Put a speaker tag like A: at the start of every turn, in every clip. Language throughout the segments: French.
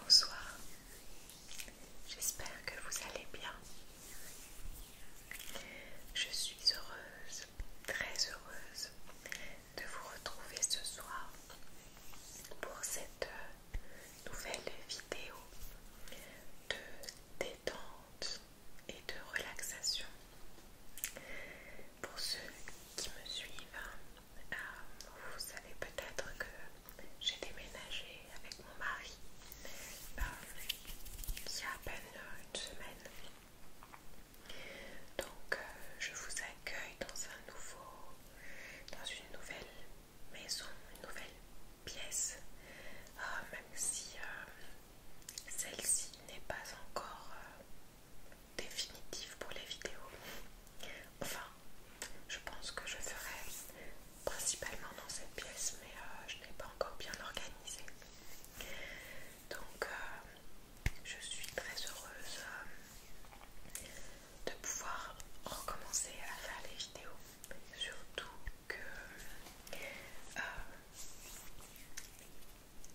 A: Bonsoir, j'espère que vous allez bien. Je suis heureuse, très heureuse de vous retrouver ce soir pour cette euh, nouvelle vidéo de détente et de relaxation. Pour ceux qui me suivent, euh, vous savez peut-être que j'ai déménagé avec mon mari euh, il y a à peine une semaine. Donc euh, je vous accueille dans un nouveau, dans une nouvelle maison, une nouvelle pièce, même si celle-ci n'est pas encore définitive pour les vidéos. Enfin, je pense que je ferai principalement dans cette pièce, mais euh, je n'ai pas encore bien organisé. Donc, euh, je suis très heureuse euh, de pouvoir recommencer à faire les vidéos. Surtout que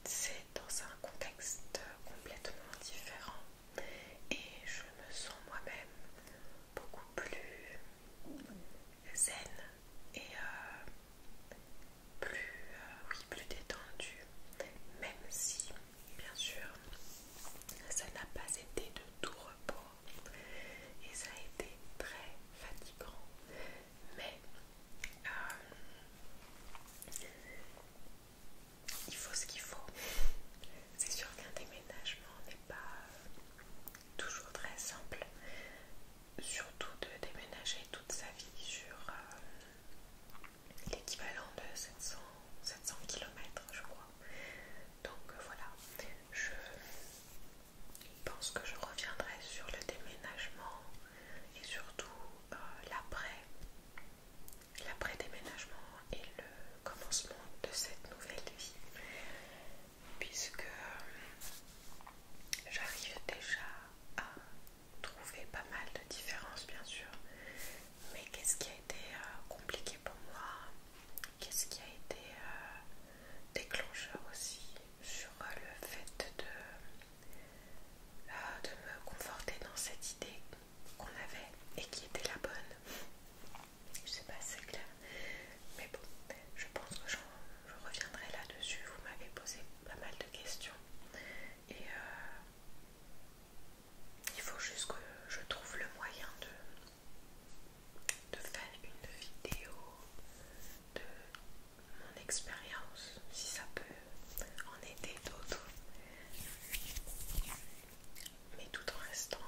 A: c'est dans un contexte complètement différent et je me sens moi-même beaucoup plus zen et euh, plus, euh, plus détendue, même si bien sûr ça n'a pas été de tout repos et ça a été très fatigant mais euh, il faut ce qu'il faut. C'est sûr qu'un déménagement n'est pas toujours très simple, surtout de déménager toute sa vie sur euh, l'équivalent de 700 km, je crois. Donc euh, voilà, je pense que je reviendrai sur le déménagement et surtout euh, l'après l'après déménagement et le commencement de cette nouvelle vie puisque euh, j'arrive déjà à trouver pas mal de différences bien sûr mais qu'est-ce qui a été euh, compliqué pour moi qu'est-ce qui a été déclencheur aussi sur le fait de de me conforter dans cette idée qu'on avait et qui était la bonne. Je sais pas si c'est clair, mais bon, je pense que je reviendrai là-dessus. Vous m'avez posé pas mal de questions et euh, il faut juste que je trouve le moyen de, de faire une vidéo de mon expérience, si ça peut en aider d'autres, mais tout en restant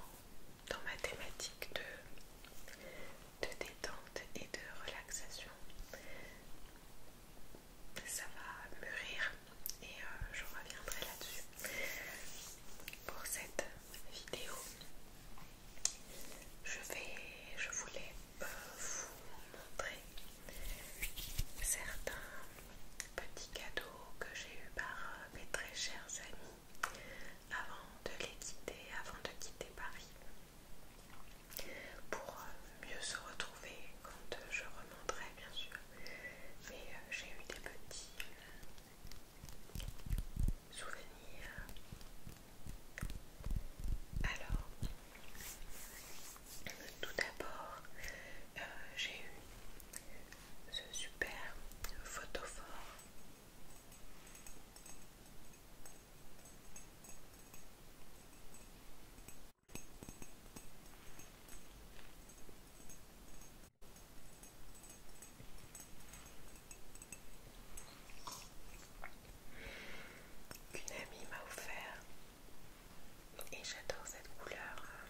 A: dans ma thématique de, de détente et de relaxation. Ça va mûrir et euh, je reviendrai là-dessus. Pour cette vidéo, je vais, je voulais vous montrer certains petits cadeaux que j'ai eu par euh, mes très chers amis avant de les quitter, avant de quitter Paris pour euh, mieux se retrouver quand euh, je remonterai bien sûr mais j'ai eu des petits souvenirs alors tout d'abord, euh, j'ai eu ce super photophore. qu'une amie m'a offert et j'adore cette couleur euh,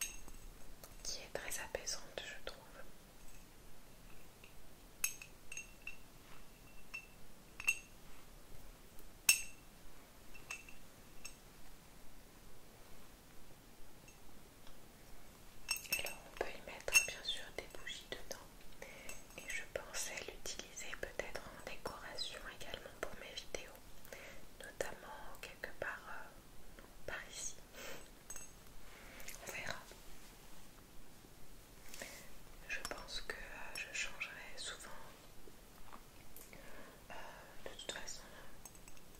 A: qui est très apaisante, je trouve. Alors on peut y mettre bien sûr des bougies dedans et je pensais l'utiliser peut-être en décoration également pour mes vidéos, notamment quelque part euh, par ici. On verra. Je pense que euh, je changerai souvent euh, de toute façon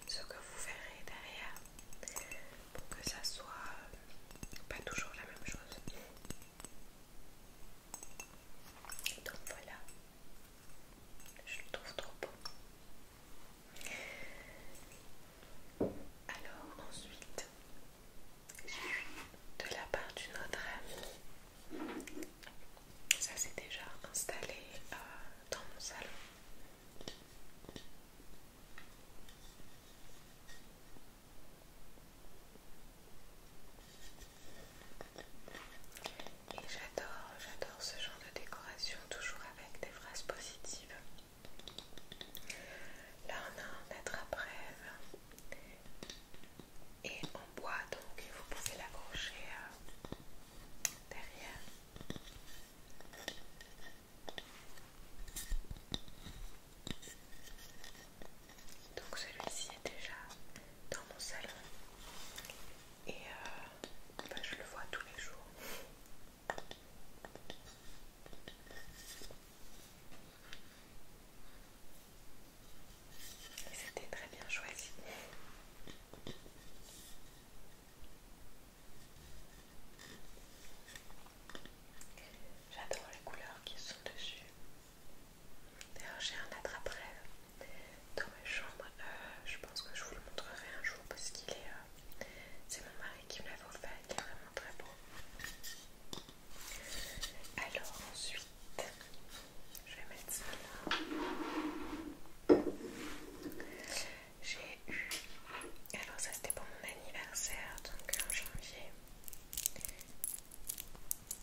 A: ce que vous verrez derrière pour que ça soit pas toujours la même chose. Donc voilà, je le trouve trop beau. Alors ensuite, de la part d'une autre amie, ça s'est déjà installé euh, dans mon salon. Et j'adore, j'adore ce genre de décoration, toujours avec des phrases positives. Là on a un à et en bois donc vous pouvez l'accrocher euh, derrière. Donc celui-ci est déjà dans mon salon et euh, bah, je le vois tous les jours. c'était très bien choisi. J'adore les couleurs qui sont dessus. D'ailleurs j'ai un attrape dans ma chambre, euh, je pense que je vous le montrerai un jour parce qu'il est... Euh, c'est mon mari qui me l'avait offert, il est vraiment très beau. Alors ensuite, je vais mettre ça là. J'ai eu... Alors ça c'était pour mon anniversaire, donc en janvier.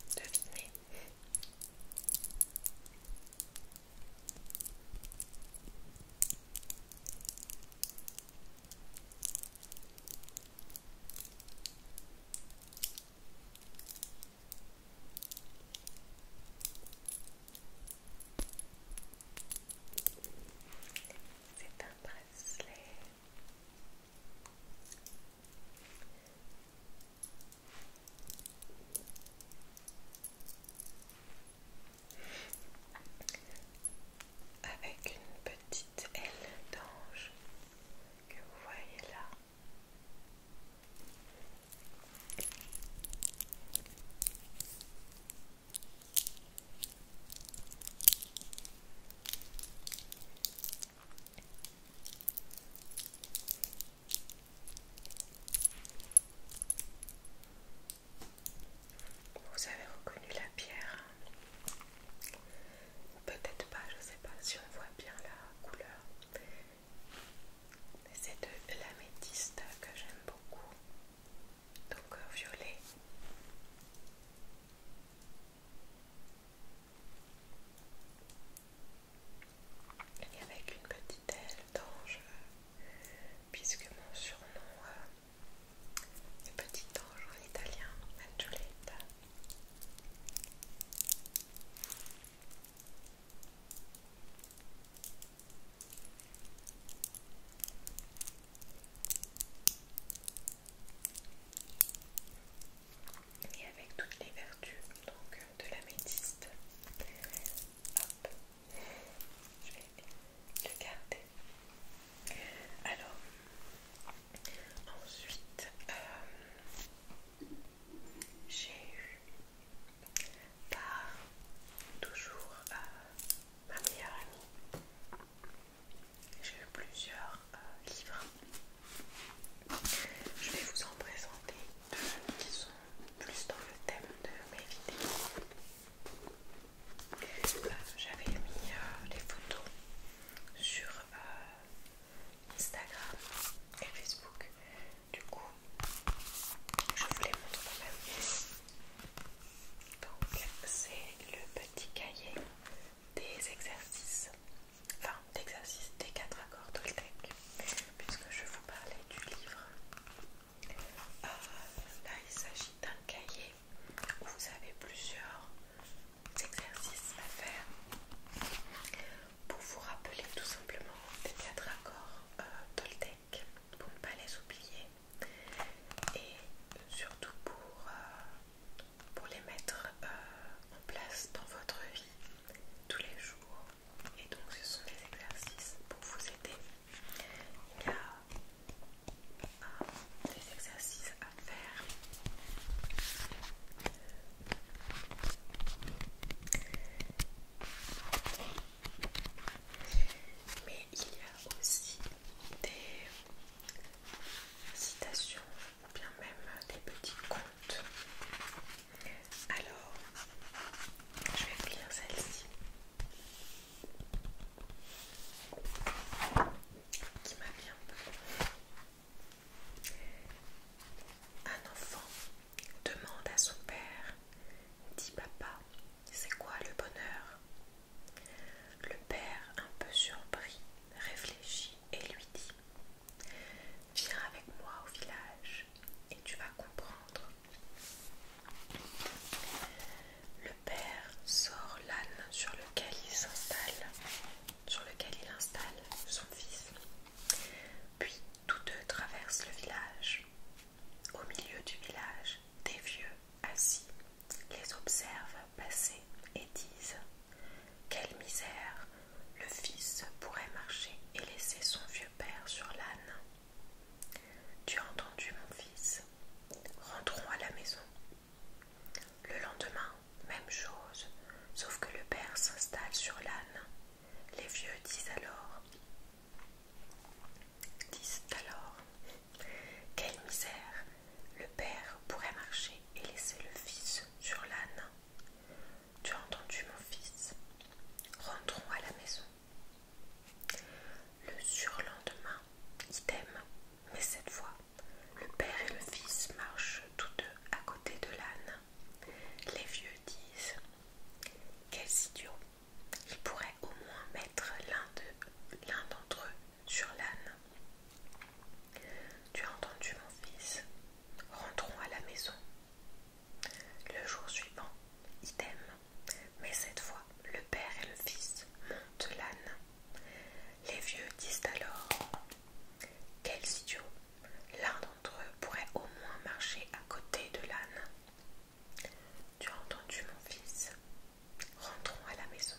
A: C'est un bracelet avec une petite aile d'ange que vous voyez là. Vous avez reconnu la pierre peut-être pas, je sais pas si on voit bien la couleur. C'est de l'améthyste que j'aime beaucoup, donc euh, violet et avec une petite aile d'ange, puisque mon surnom est euh, petit ange en italien, Angioletta et avec toutes les vertus donc, euh, de l'améthyste. Hop, je vais le garder. Alors, ensuite, euh, j'ai eu par toujours euh, ma meilleure amie, j'ai eu plusieurs livres je vais vous en présenter deux qui sont plus dans le thème de mes vidéos. Euh, j'avais mis euh, les photos sur euh, Instagram et Facebook. Du coup, je vous les montre quand même. Donc, c'est le petit cahier des exercices enfin l'exercice des quatre accords Toltec, puisque je vous parlais du livre. Euh, là, il s'agit d'un cahier où vous avez plusieurs exercices à faire pour vous rappeler tout simplement des quatre accords euh, pour ne pas les oublier et surtout pour, euh, pour les mettre euh, en place dans votre vie tous les jours et donc ce sont des exercices pour vous aider. Il y a des exercices à faire. Mais il y a aussi des citations ou bien même des petits contes alors, je vais lire celle-ci qui m'a bien Un enfant demande à son père dit papa, c'est quoi le bonheur Le père, un peu surpris, réfléchit et lui dit Viens avec moi au village et tu vas comprendre. Le père sort l'âne sur lequel il s'installe, sur lequel il installe son fils. Puis tous deux traversent le village. Au milieu du village, des vieux assis les observent passer et disent quelle misère Le fils pourrait marcher et laisser son vieux père sur l'âne. Tu as entendu, mon fils Rentrons à la maison. Le lendemain, même chose, sauf que le père s'installe sur l'âne. Les vieux disent alors disent alors Quelle misère Le père pourrait marcher et laisser le fils sur l'âne. Tu as entendu mon fils Rentrons à la maison. Le surlendemain, idem, mais cette fois, le père et le fils marchent tous deux à côté de l'âne. Les vieux disent Quels idiots Ils pourraient au moins mettre l'un d'entre eux sur l'âne. Tu as entendu mon fils Rentrons à la maison, le jour suivant, idem, mais cette fois le père et le fils montent l'âne. Les vieux disent alors Quels idiots L'un d'entre eux pourrait au moins marcher à côté de l'âne. Tu as entendu, mon fils Rentrons à la maison.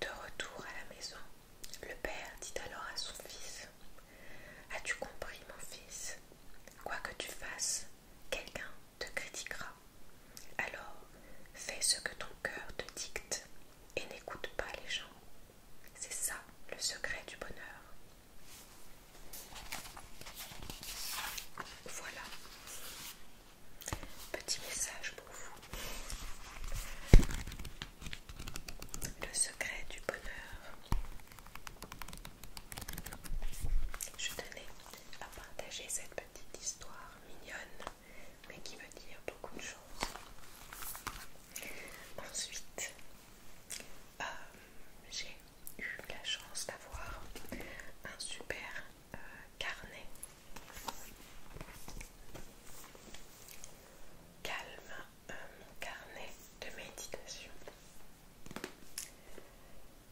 A: De retour à la maison, le père dit alors à son fils As-tu compris, mon fils Quoi que tu fasses, quelqu'un te critiquera. Alors, fais ce que ton cœur te dicte et n'écoute pas les gens. C'est ça le secret du bonheur. Voilà. Petit message pour vous. Le secret du bonheur. Je tenais à partager cette petite histoire mignonne, mais qui veut dire beaucoup de choses. Ensuite, euh, j'ai eu la chance d'avoir un super euh, carnet calme mon euh, carnet de méditation.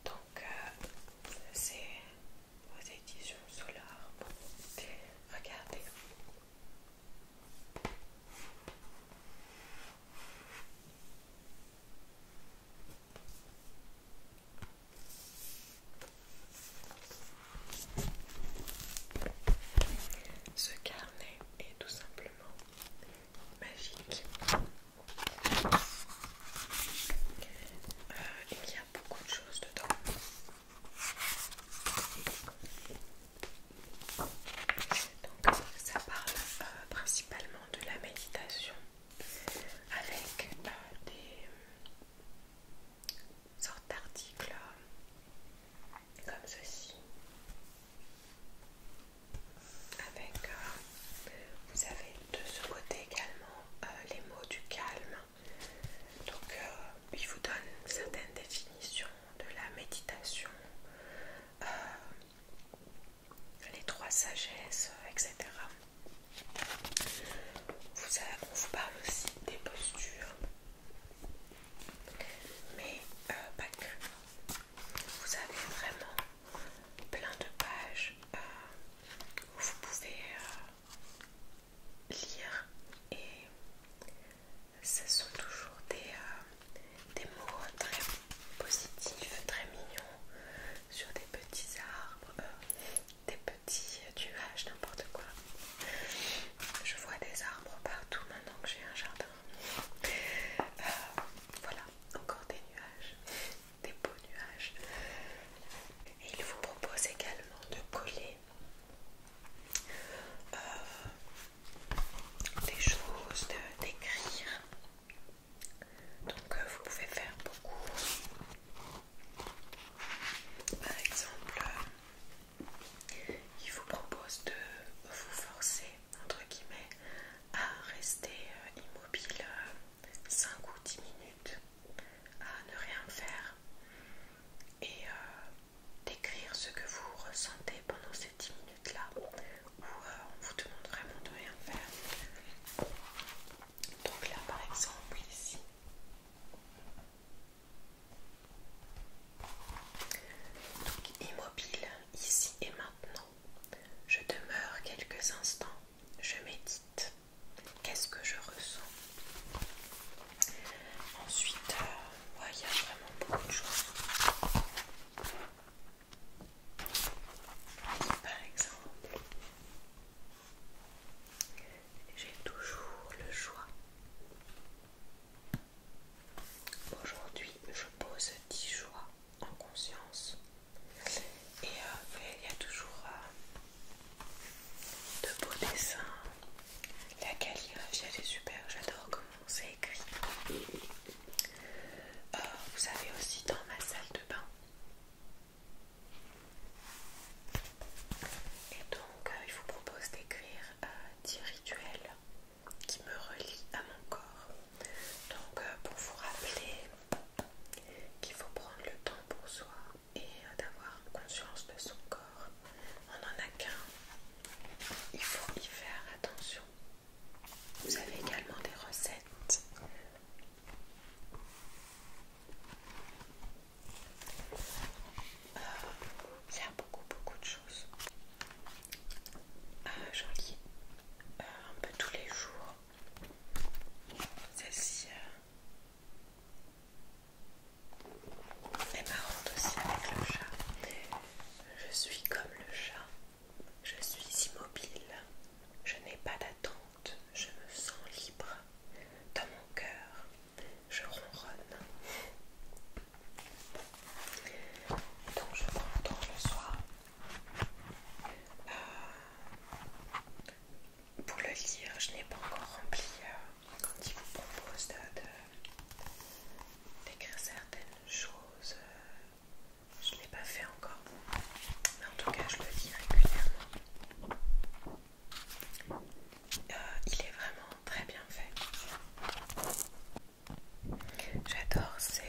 A: Donc euh, c'est vos éditions Solar. Regardez. Ce carnet est tout simplement magique. et euh, il y a beaucoup de choses dedans. Donc ça parle euh, principalement de la méditation avec euh, des sortes d'articles comme ceci. Avec, euh, vous avez de ce côté également euh, les mots du calme. Donc, euh, il vous donne certaines définitions de la méditation, les trois sagesses, etc. on vous parle aussi des postures, mais pas que. Vous avez vraiment plein de pages euh, où vous pouvez euh, lire et ce sont toujours euh, des, mots très positifs, très mignons sur des petits arbres, des petits nuages, n'importe quoi. Je vois des arbres partout maintenant que j'ai un jardin voilà, encore des nuages, des beaux nuages. Et il vous propose également de coller euh, des choses, d'écrire. Donc euh, vous pouvez faire beaucoup. Par exemple, il vous propose de vous forcer, entre guillemets, à rester euh, immobile 5 euh, ou 10 minutes, à ne rien faire et euh, d'écrire ce que vous ressentez pendant ces 10 minutes-là où on vous demande vraiment de rien faire. Donc là par exemple ici. Donc immobile, ici et maintenant, je demeure quelques instants, je médite. Qu'est-ce que je ressens Ensuite, euh, il y a vraiment beaucoup de choses. Par exemple, j'ai toujours le choix Aujourd'hui, je pose 10 choix en conscience. Et euh, il y a toujours euh, de beaux dessins. La calligraphie, est super. J'adore comment c'est écrit. Euh, vous savez aussi dans ma salle de bain. Et donc, il vous propose d'écrire 10 rituels qui me relie à mon corps. Donc euh, pour vous rappeler qu'il faut prendre le temps pour soi et euh, d'avoir conscience de son corps. On n'en a qu'un. Il faut y faire attention. Vous avez également des recettes. Euh, il y a beaucoup beaucoup de choses. Euh, j'en lis euh, un peu tous les jours. Celle-ci euh, est marrante aussi avec le chat. Je suis comme le chat. Je suis immobile. Je n'ai pas d'attente. Je me sens libre. Dans mon cœur, je ronronne. Donc je prends le soir. Euh, pour le lire, je n'ai pas encore rempli euh, quand il vous propose d'écrire certaines choses. Euh, je ne l'ai pas fait encore. Mais en tout cas, je le lis régulièrement. il est vraiment très bien fait. J'adore ces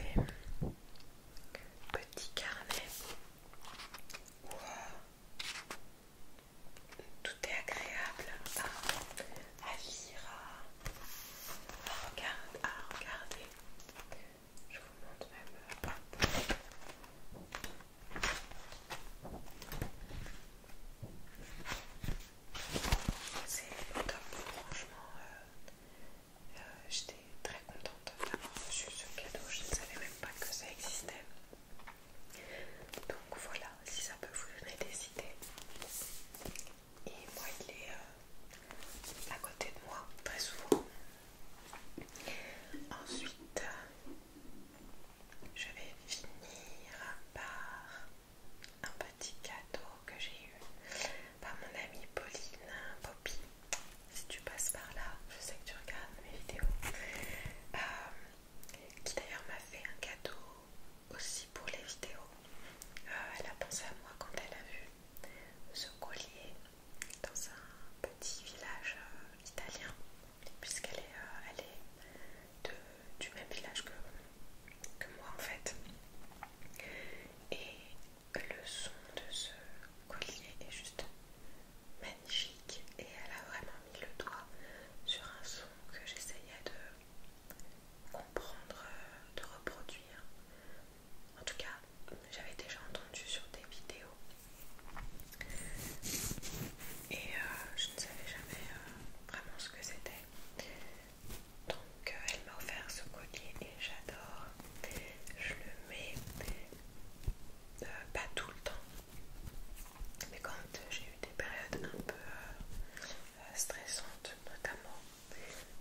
A: petits carnets euh, tout est agréable à lire, à, regardez. Je vous montre même. C'est top, franchement. Euh, euh, j'étais très contente d'avoir reçu ce cadeau, je ne savais même pas que ça existait. Donc voilà, si ça peut vous donner des idées. Et moi, il est euh, à côté de moi très souvent. Ensuite, je vais finir par un petit cadeau que j'ai eu par mon amie Pauline Poppy. Si tu passes par là, je sais que tu regardes mes vidéos. Euh, qui d'ailleurs m'a fait un cadeau aussi pour les vidéos. Euh, elle a pensé à moi quand elle a vu ce collier dans un petit village euh, italien, puisqu'elle est, du même village que que moi en fait. Et le son de ce collier est juste magnifique et elle a vraiment mis le doigt sur un son que j'essayais de comprendre, de reproduire. En tout cas, j'avais déjà entendu sur des vidéos et euh, je ne savais jamais euh, vraiment ce que c'était. Donc euh, elle m'a offert ce collier et j'adore. Je le mets euh, pas tout le temps. Mais quand j'ai eu des périodes un peu euh, stressantes, notamment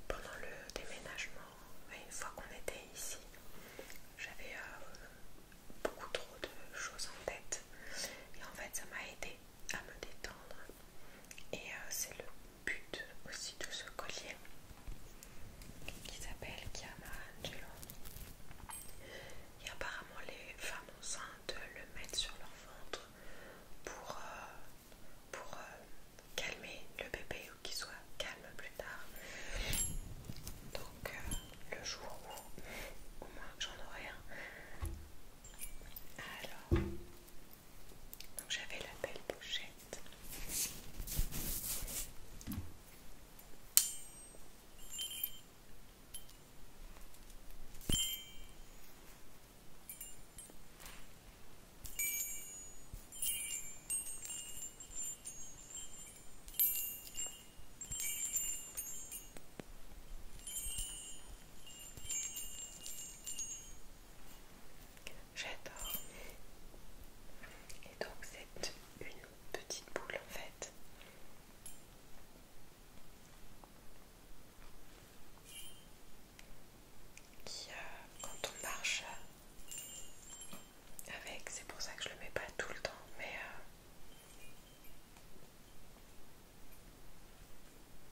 A: pendant le déménagement, une fois qu'on était ici, j'avais beaucoup trop de choses en tête. Et en fait, ça m'a aidé à me détendre. Et c'est le but aussi de ce collier qui s'appelle Chiama Angelo. Et apparemment, les femmes enceintes le mettent sur leur ventre pour, euh, euh, calmer le bébé ou qu'il soit calme plus tard. Donc, euh, le jour où au moins j'en aurai un. Alors, donc j'avais la belle pochette. J'adore. Et donc c'est une petite boule en fait. Qui euh, quand on marche euh, avec, c'est pour ça que je le mets pas tout le temps, mais euh,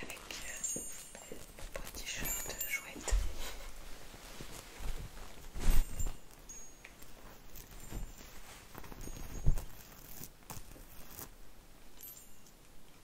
A: Avec euh, petit t-shirt chouette.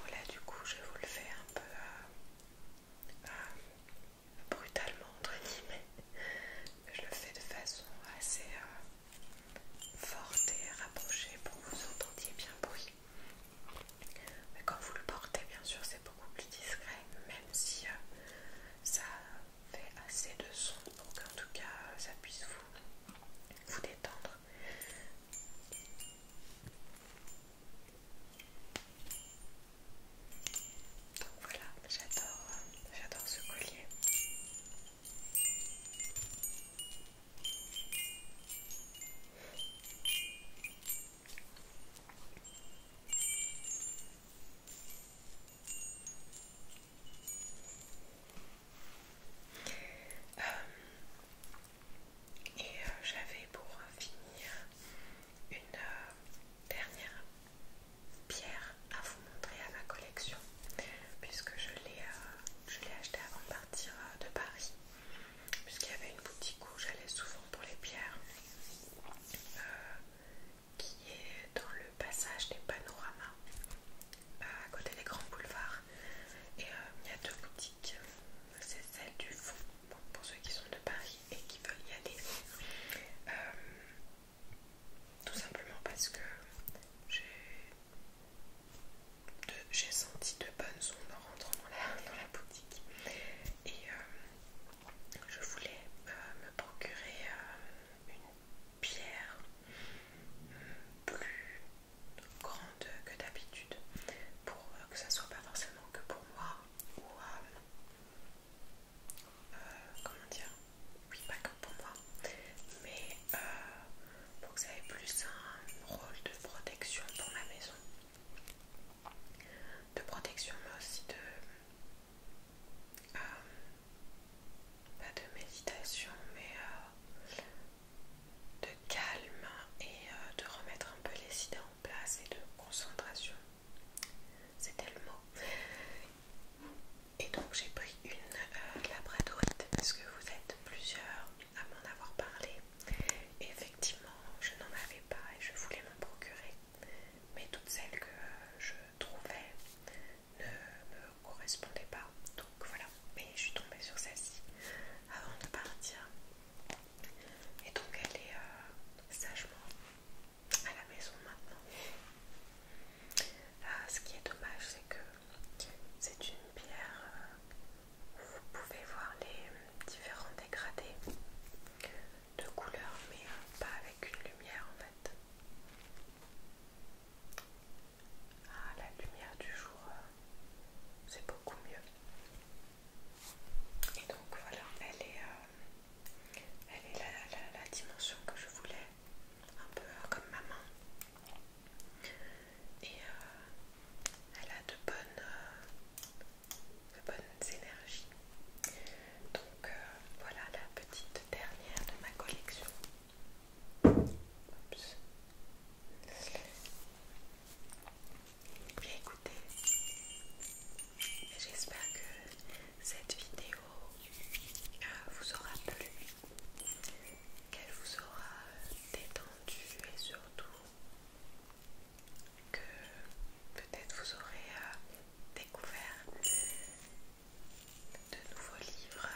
A: Voilà, du coup je vous le fais un peu euh, euh, brutalement entre guillemets. Je le fais de façon assez euh, forte et rapprochée pour que vous entendiez bien bruit. Mais quand vous le portez bien sûr c'est beaucoup plus discret même si ça fait assez de son pour qu'en tout cas euh, ça puisse vous, vous détendre. Donc voilà, j'adore euh, ce collier. Euh, et euh, j'avais pour finir une euh, dernière pierre à vous montrer à ma collection puisque je l'ai achetée avant de partir de Paris puisqu'il y avait une boutique où j'allais souvent pour les pierres qui est dans le passage des panoramas euh, bah, à côté des grands boulevards. Et euh, il y a deux boutiques. Euh, c'est celle du fond, pour ceux qui sont de Paris et qui veulent y aller. tout simplement parce que j'ai senti de bonnes ondes en rentrant dans la, boutique. Et je voulais me procurer une pierre plus grande que d'habitude pour euh, que ça soit pas forcément que pour moi ou euh, euh, comment dire oui pas que pour moi mais pour que ça ait plus un rôle de protection pour ma maison de protection mais aussi de pas de méditation, mais euh, de calme et euh, de remettre un peu les idées en place et de concentration. C'était le mot. Et donc j'ai pris une euh, labradorite parce que vous êtes plusieurs à m'en avoir parlé. Et effectivement, je n'en avais pas et je voulais m'en procurer. Mais toutes celles que je trouvais, ne me correspondait pas. Donc voilà, mais je suis tombée sur celle-ci avant de partir. Et donc elle est euh, sagement à la maison maintenant. Euh, ce qui est dommage, c'est que c'est une pierre euh, où vous pouvez voir les différents dégradés de couleurs, mais pas avec une lumière en fait. Ah, la lumière du jour, euh, c'est beaucoup mieux. Et donc voilà, elle est, euh, elle est la, dimension que je voulais, un peu euh, comme ma main. Et elle a de bonnes, énergies. Donc voilà la petite dernière de ma collection. Oups. écoutez, j'espère que cette vidéo euh, vous aura plu, qu'elle vous aura détendu et surtout que peut-être vous aurez euh, découvert de nouveaux livres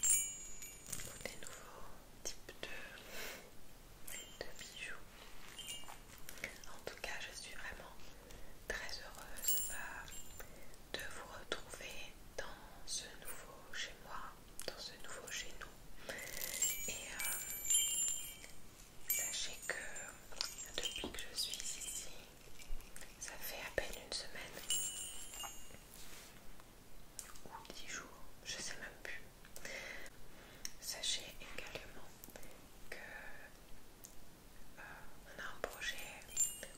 A: ou des nouveaux types de, bijoux. En tout cas, je suis vraiment très heureuse euh, de vous retrouver dans ce nouveau chez moi, dans ce nouveau chez nous. Et euh, sachez que depuis que je suis ici, ça fait à peine une semaine ou 10 jours, je sais même plus. Sachez également que euh, on a un projet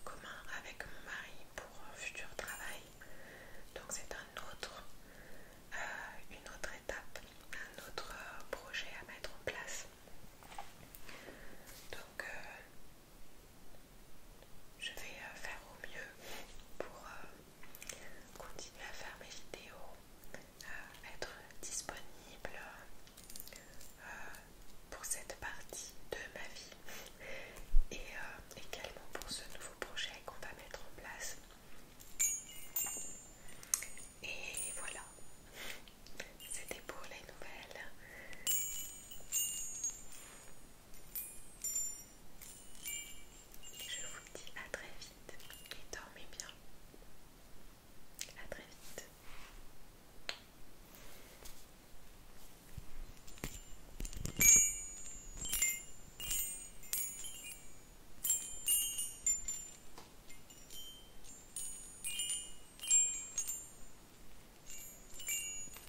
A: commun avec mon mari pour un futur travail. Donc c'est un autre, euh, une autre étape, un autre euh, projet à mettre en place. Donc je vais euh, faire au mieux pour euh, continuer à faire mes vidéos, être disponible euh, pour cette partie de ma vie et également pour ce nouveau projet qu'on va mettre en place. Et voilà, c'était pour les nouvelles. Je vous dis à très vite et dormez bien. À très vite.